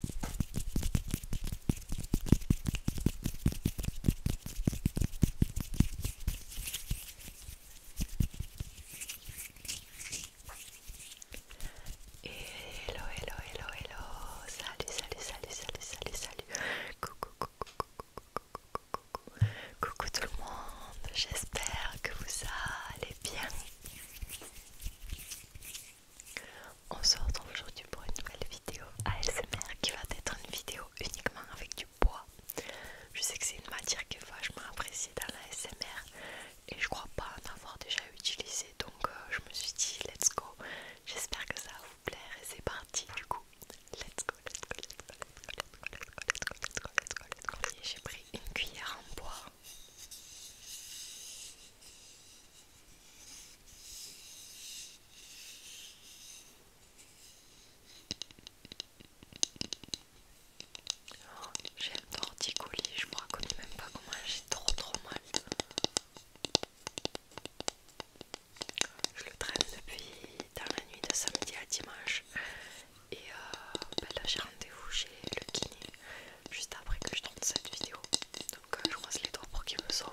Hello, hello, hello, hello. Salut, salut, salut, salut, salut, salut. Coucou, coucou, coucou, coucou, coucou. Coucou tout le monde. J'espère que vous allez bien. On se retrouve aujourd'hui pour une nouvelle vidéo ASMR qui va être une vidéo uniquement avec du bois. Je sais que c'est une matière qui est vachement appréciée dans l'ASMR et je crois pas en avoir déjà utilisé donc euh, je me suis dit let's go. J'espère que ça va vous plaire et c'est parti du coup. Let's go, let's go, let's go, let's go, let's go, let's go, let's go, let's go, let's go, let's go. J'ai pris une cuillère en bois j'ai un torticolis, je me reconnais même pas comment j'ai trop trop mal. Je le traîne depuis dans la nuit de samedi à dimanche et euh, ben là j'ai rendez-vous chez le kiné juste après que je tourne cette vidéo. Donc euh, je croise les doigts pour qu'ils me sauvent.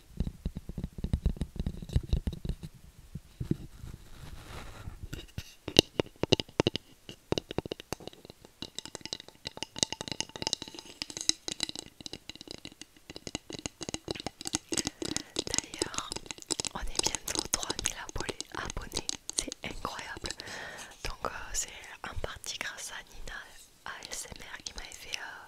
D'ailleurs, on est bientôt 3000 abonnés, c'est incroyable. Donc euh, c'est en partie grâce à Nina ASMR qui m'a fait euh,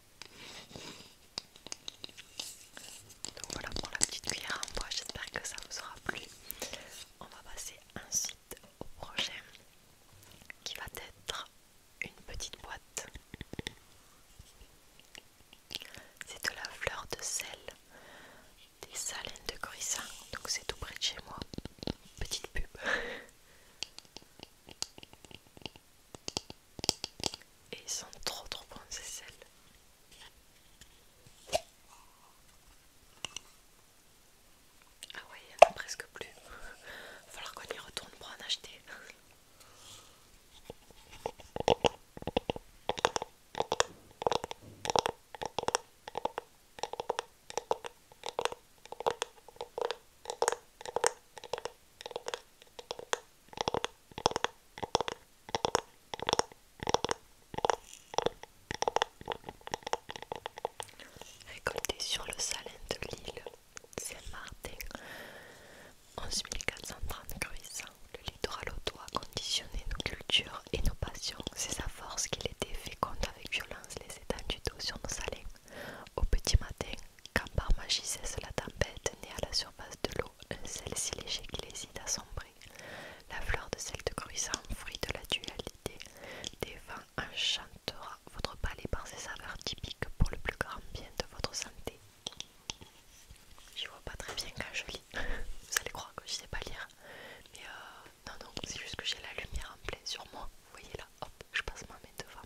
Donc voilà pour la petite cuillère en bois, j'espère que ça vous aura plu. On va passer ensuite au prochain qui va être une petite boîte. C'est de la fleur de sel des salines de Corissa, donc c'est tout près de chez moi. Petite pub. Et ils sont trop trop bons c'est sels. Ah ouais, il n'y en a presque plus. Va falloir qu'on y retourne pour en acheter. Récolter sur le salin de l'île Saint-Martin en 1430 le littoral a conditionné nos cultures et nos passions. C'est sa force qu'il était féconde avec violence les étendues d'eau sur nos salins. Au petit matin, quand par magie cesse la tempête née à la surface de l'eau, un sel si léger qu'il hésite à sombrer, la fleur de sel de gruissant, fruit de la dualité, des vents enchantera votre palais par ses saveurs typiques pour le plus grand bien de votre santé. Je vois pas très bien quand je lis, vous allez croire que je sais pas lire, mais euh, non, non, c'est juste que j'ai la lumière en plein sur moi, vous voyez là, hop, je passe ma main devant.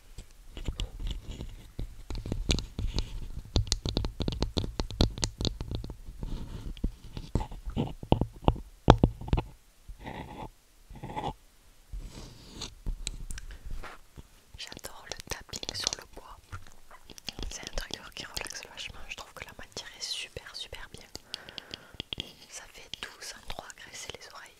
J'adore le tapping sur le bois. C'est un trigger qui relaxe vachement. Je trouve que la matière est super super bien. Ça fait doux en hein, trois agresser les oreilles.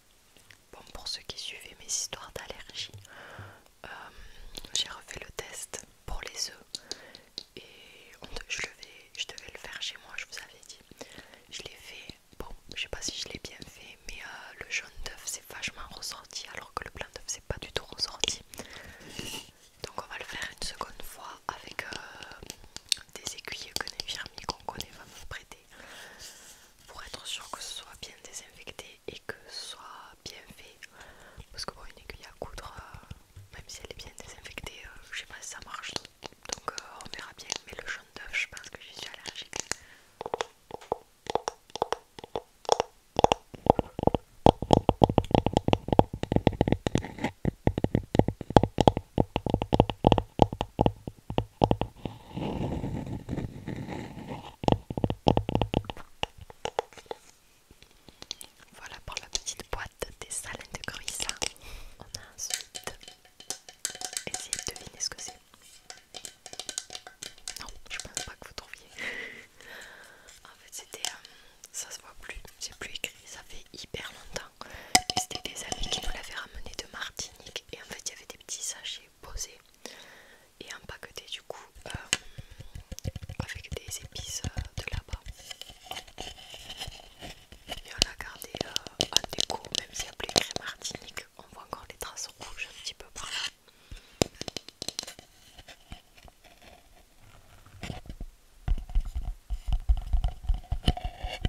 Bon, pour ceux qui suivaient mes histoires d'allergie, euh, j'ai refait le test pour les œufs et je, devais le faire chez moi, je vous avais dit. Je l'ai fait, bon, je sais pas si je l'ai bien fait, mais euh, le jaune d'œuf s'est vachement ressorti alors que le blanc d'œuf s'est pas du tout ressorti. Donc, on va le faire une seconde fois avec euh, des aiguilles que les Fermi, qu'on connaît va me prêter pour être sûr que ce soit bien désinfecté et que ce soit bien fait parce que bon une aiguille à coudre euh, même si elle est bien désinfectée euh, je sais pas si ça marche donc euh, on verra bien mais le jaune d'œuf je pense que je suis allergique voilà pour la petite boîte des salins de Corissa. On a ensuite essayé de deviner ce que c'est. Non, je pense pas que vous trouviez. en fait, c'était. Euh, ça se voit plus, c'est plus écrit, ça fait hyper longtemps. Et c'était des amis qui nous l'avaient ramené de Martinique. Et en fait, il y avait des petits sachets posés et empaqueté du coup euh, avec des épices de là-bas. Et on a gardé en déco, même s'il y a plus Martinique, on voit encore les traces rouges un petit peu par là.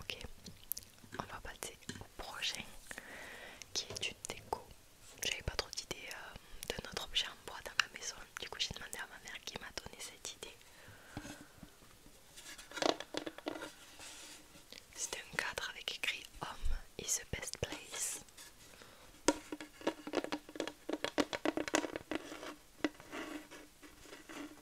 Ok, on va passer au prochain qui est une déco. J'avais pas trop d'idées d'un euh, de notre objet en bois dans ma maison, du coup j'ai demandé à ma mère qui m'a donné cette idée. C'est un cadre avec écrit Home is the best place.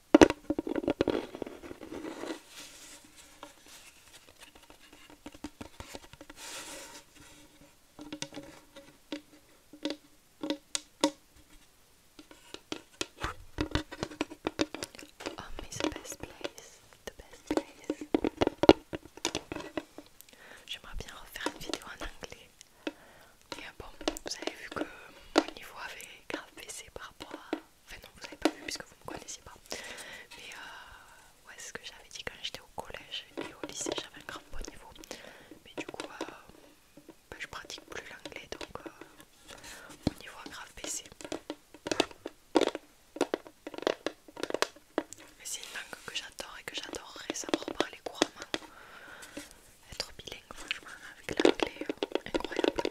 Home oh, is the best place, the best place. J'aimerais bien refaire une vidéo en anglais. Et euh, bon, vous avez vu que mon niveau avait grave baissé par rapport à. Enfin, non, vous n'avez pas vu puisque vous me connaissez pas. Mais euh, ouais, c'est ce que j'avais dit quand j'étais au collège et au lycée, j'avais un grand bon niveau. Mais du coup, euh, bah, je pratique plus l'anglais donc mon niveau a grave baissé. Mais c'est une langue que j'adore et que j'adorerais savoir parler couramment être bilingue franchement avec l'anglais euh, incroyable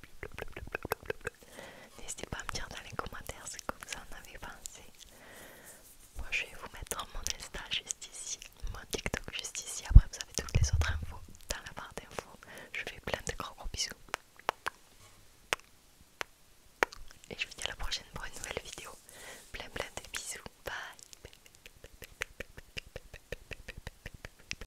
N'hésitez pas à me dire dans les commentaires ce que vous en avez pensé. Moi je vais vous mettre mon Insta juste ici, mon TikTok juste ici. Après vous avez toutes les autres infos dans la barre d'infos. Je vous fais plein de gros gros bisous. Et je vous dis à la prochaine pour une nouvelle vidéo. Plein plein de bisous. Bye.